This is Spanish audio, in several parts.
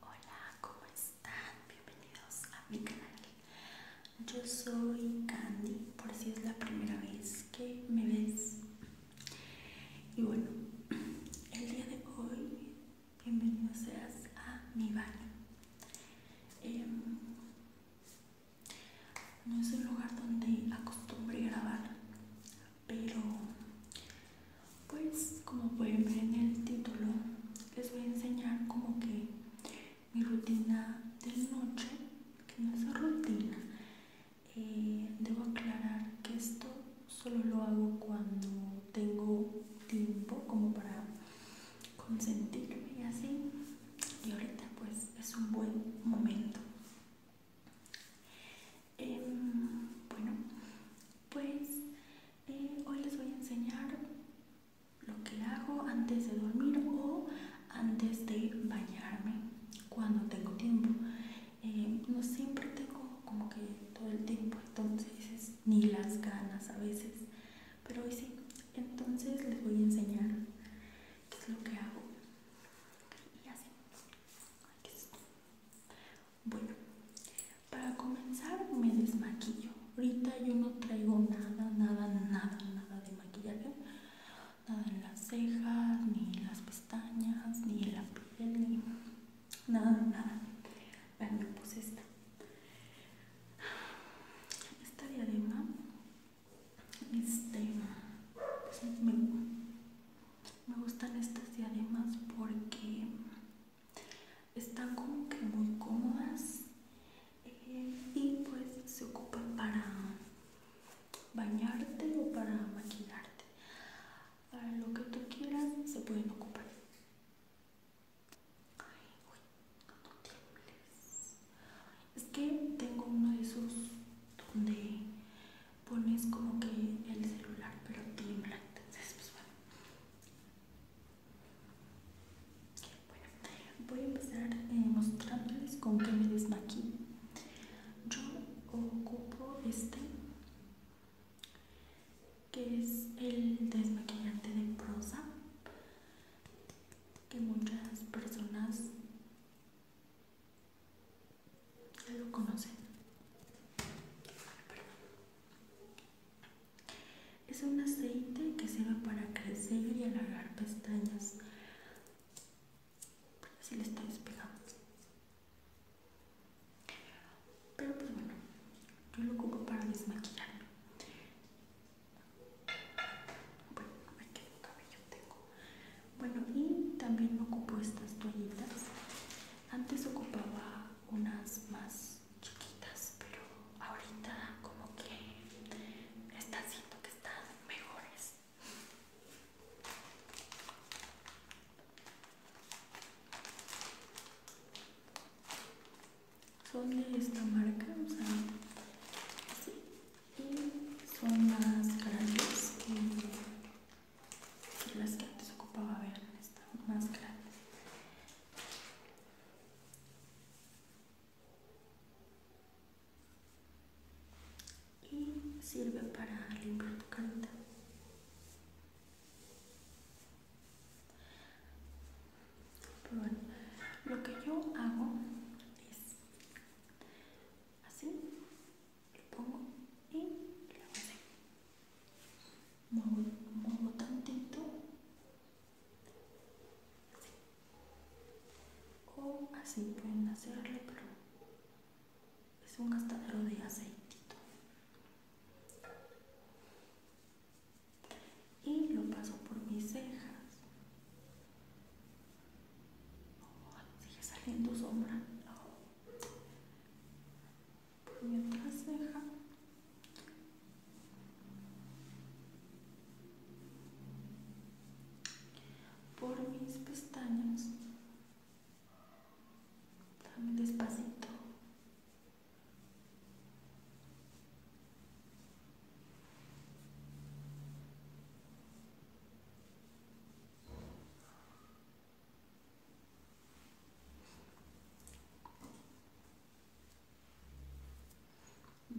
Hola, ¿cómo están? Bienvenidos a mi canal. Yo soy Candy, por si es la primera vez que me ves. Y bueno, el día de hoy, bienvenido seas a mi baño. Em, no es el lugar donde acostumbré grabar, pero pues como pueden ver en el título les voy a enseñar como que mi rutina de noche que no es rutina eh, debo aclarar que esto solo lo hago cuando tengo tiempo como para consentirme y así y ahorita pues es un buen momento Em, bueno, pues eh, hoy les voy a enseñar lo que hago antes de dormir o antes de bañarme cuando tengo tiempo. Em, no siempre tengo como que todo el tiempo, entonces ni las ganas a veces, pero hoy sí. Entonces les voy a enseñar qué es lo que hago. Y así. Aquí bueno, para comenzar me desmaquillo. Ahorita yo no traigo nada, nada, nada, nada de maquillaje. Nada en las cejas, ni en las pestañas, ni en la piel, nada, nada. me puse esta. Esta diadema, este, me, me gustan estas diademas porque están como que muy cómodas eh, y pues se ocupan para bañarte o para maquillarte para lo que tú quieras se pueden ocupar es que tengo uno de esos donde pones como que el celular pero timbra entonces pues bueno voy a empezar eh, mostrándoles con que me desmaquillo yo ocupo este que es el desmaquillante de prosa que muchas personas ¿Lo conocen? Es un aceite que sirve para crecer y alargar pestañas. Así le está despegando. Pero pues bueno, yo lo ocupo para desmaquillarlo. Bueno, me quedo cabello, tengo bueno, y también me ocupo estas toallitas. Antes ocupaba unas más chiquitas, pero ahorita como que está siento que están mejores. Son de esta marca, o sea, y son más grandes que, las que antes ocupaba. ver están más grandes. Y sirve para limpiar tu carita. Pero bueno, lo que yo hago es así, lo pongo y lo hago Muevo, muevo tantito, así. O así pueden hacerlo, pero es un gastadero de aceitito. Y lo paso por mis cejas sigue saliendo sombra. Por mi ceja, Por mis pestañas. Dame despacito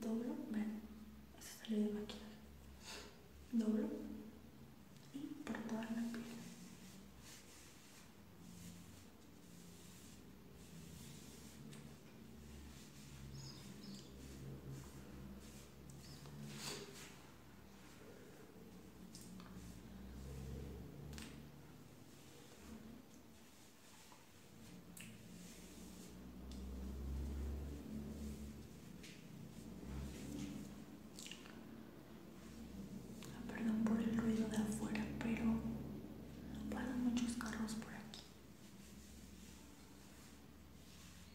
doblo, ven, se sale de máquina, doblo y por toda la piel. Ah, perdón por el ruido de afuera, pero paran muchos carros por aquí.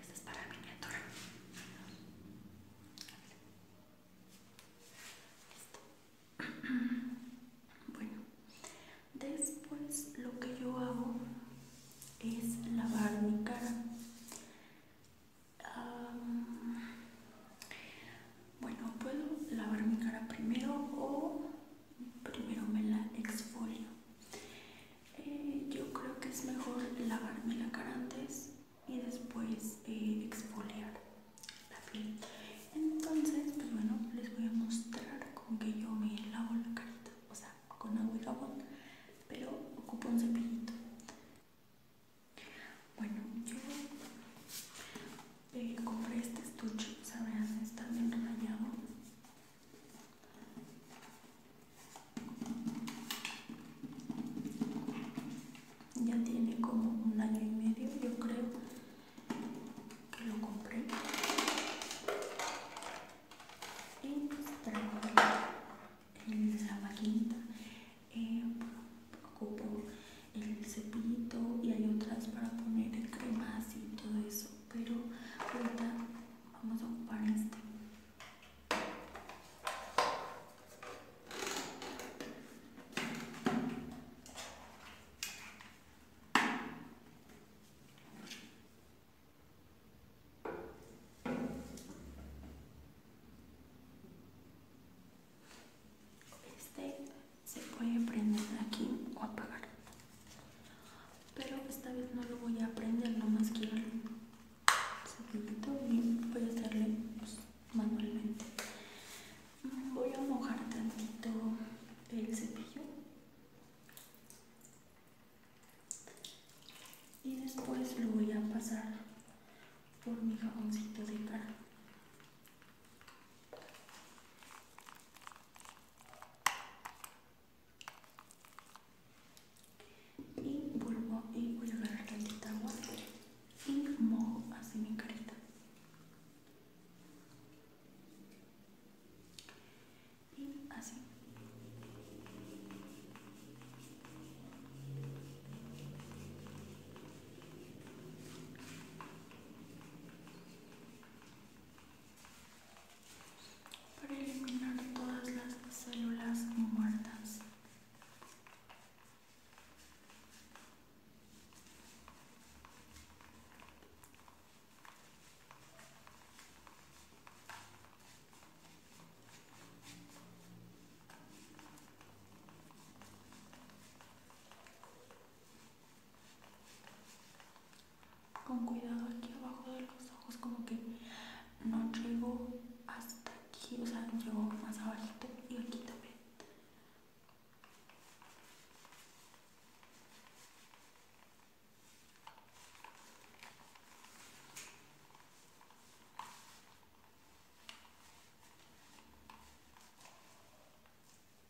Esta es para mi Listo. Bueno, después lo que yo hago es lavar mi cara. bueno, puedo lavar mi cara primero o primero me la exfolio. Eh, yo creo que es mejor lavarme la cara antes y después eh, exfoliar la piel. Entonces, pues bueno, les voy a mostrar con que yo me lavo la carita, o sea, con agua y jabón, pero ocupo un cepillito. Bueno, yo eh, compré este estuche, o sea, vean, está bien rayado ya tiene como un año y medio, yo creo, que lo compré. Y pues, traigo en la vaquita eh, ocupo el cepito y hay otras para poner crema y todo eso pero ahorita vamos a ocupar este. Este se puede prender aquí o apagar pero esta vez no lo voy a prender más quiero un cepillito y voy a hacerle pues, manualmente voy a mojar tantito el cepillo y después lo voy a pasar por mi jaboncito de cara y vuelvo y voy a agarrar tantita agua y mojo así mi carita. Y así para eliminar todas las células muertas con cuidado aquí abajo de los ojos como que no llegó hasta aquí o sea llegó más abajito y aquí también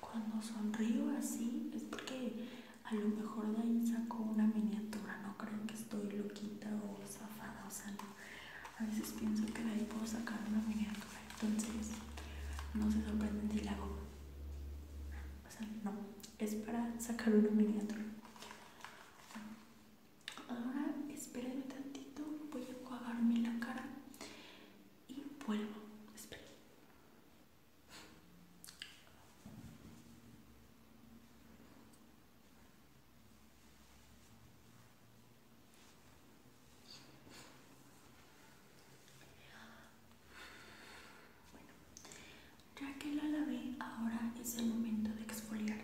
Cuando sonrío así es porque a lo mejor de ahí saco una miniatura, no creo que estoy loquita o zafada, o sea, A veces pienso que de ahí puedo sacar una miniatura, entonces no se sorprenden si la hago. O sea, no, es para sacar una miniatura. Ahora espérenme tantito, voy a enjuagarme la cara y vuelvo. Bueno, ya que la lavé, ahora es el momento de exfoliar.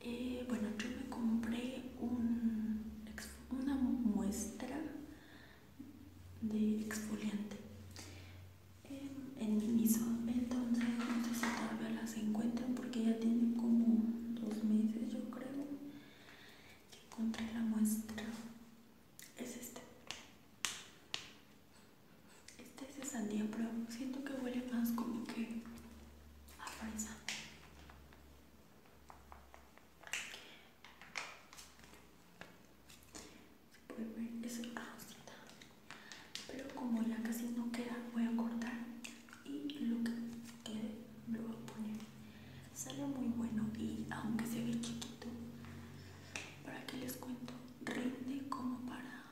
Eh, bueno, yo me compré un exfoliador una muestra de exfoliante eh, en mi miso entonces no sé si todavía las encuentran porque ya tiene como dos meses yo creo que encontré la muestra es este este es de sandía pero siento que huele más como que a fresa se puede ver, es Pero como ya casi no queda, voy a cortar y lo que quede lo voy a poner. Sale muy bueno y aunque se ve chiquito, para que les cuento, rinde como para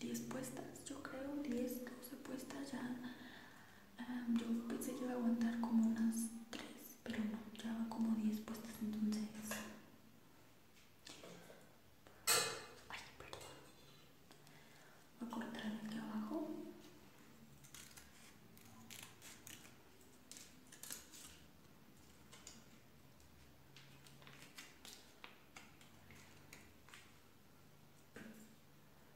10 puestas, yo creo 10, 12 puestas ya yo pensé que iba a aguantar como unas tres, pero no, ya van como diez puestas entonces. Ay, perdón. Voy a cortar aquí abajo.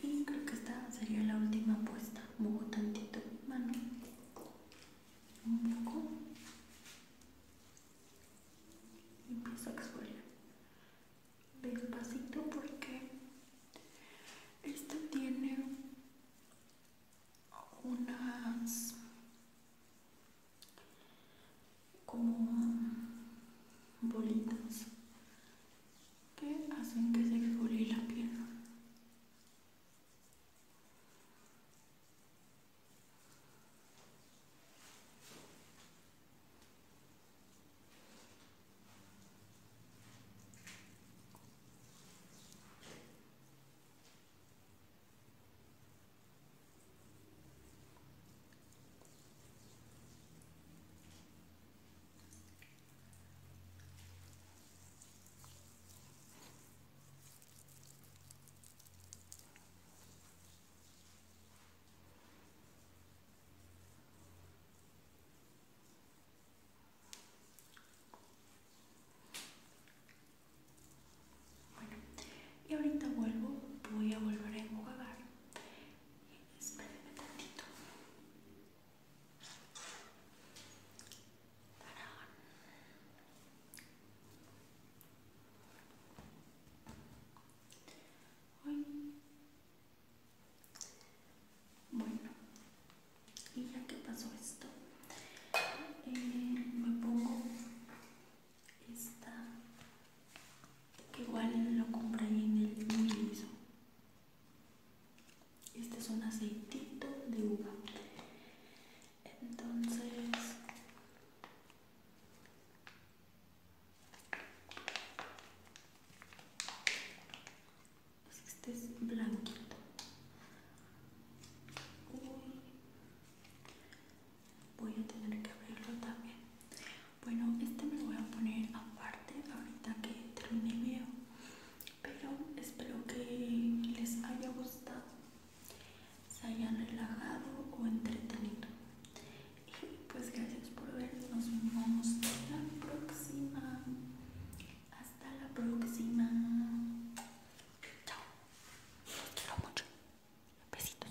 y creo que esta sería la última puesta muevo tantito mano un poco y empiezo a suele despacito porque esto tiene unas como bolitas que hacen que se exfolie la piel bueno, y ahorita vuelvo, voy a volver a enjuagar. Espérenme tantito. Bueno, y ya que pasó esto, eh, me pongo esta que igual lo compré en el mismo este es un aceitito de uva. Entonces, este es blanquito. Voy a tener que abrirlo también. Bueno, este me lo voy a poner aparte ahorita que termine el video. Pero espero que les haya gustado, se hayan relajado o entretenido. Y pues gracias por ver. Nos vemos la próxima. Hasta la próxima. Chao. Te mucho. Besitos.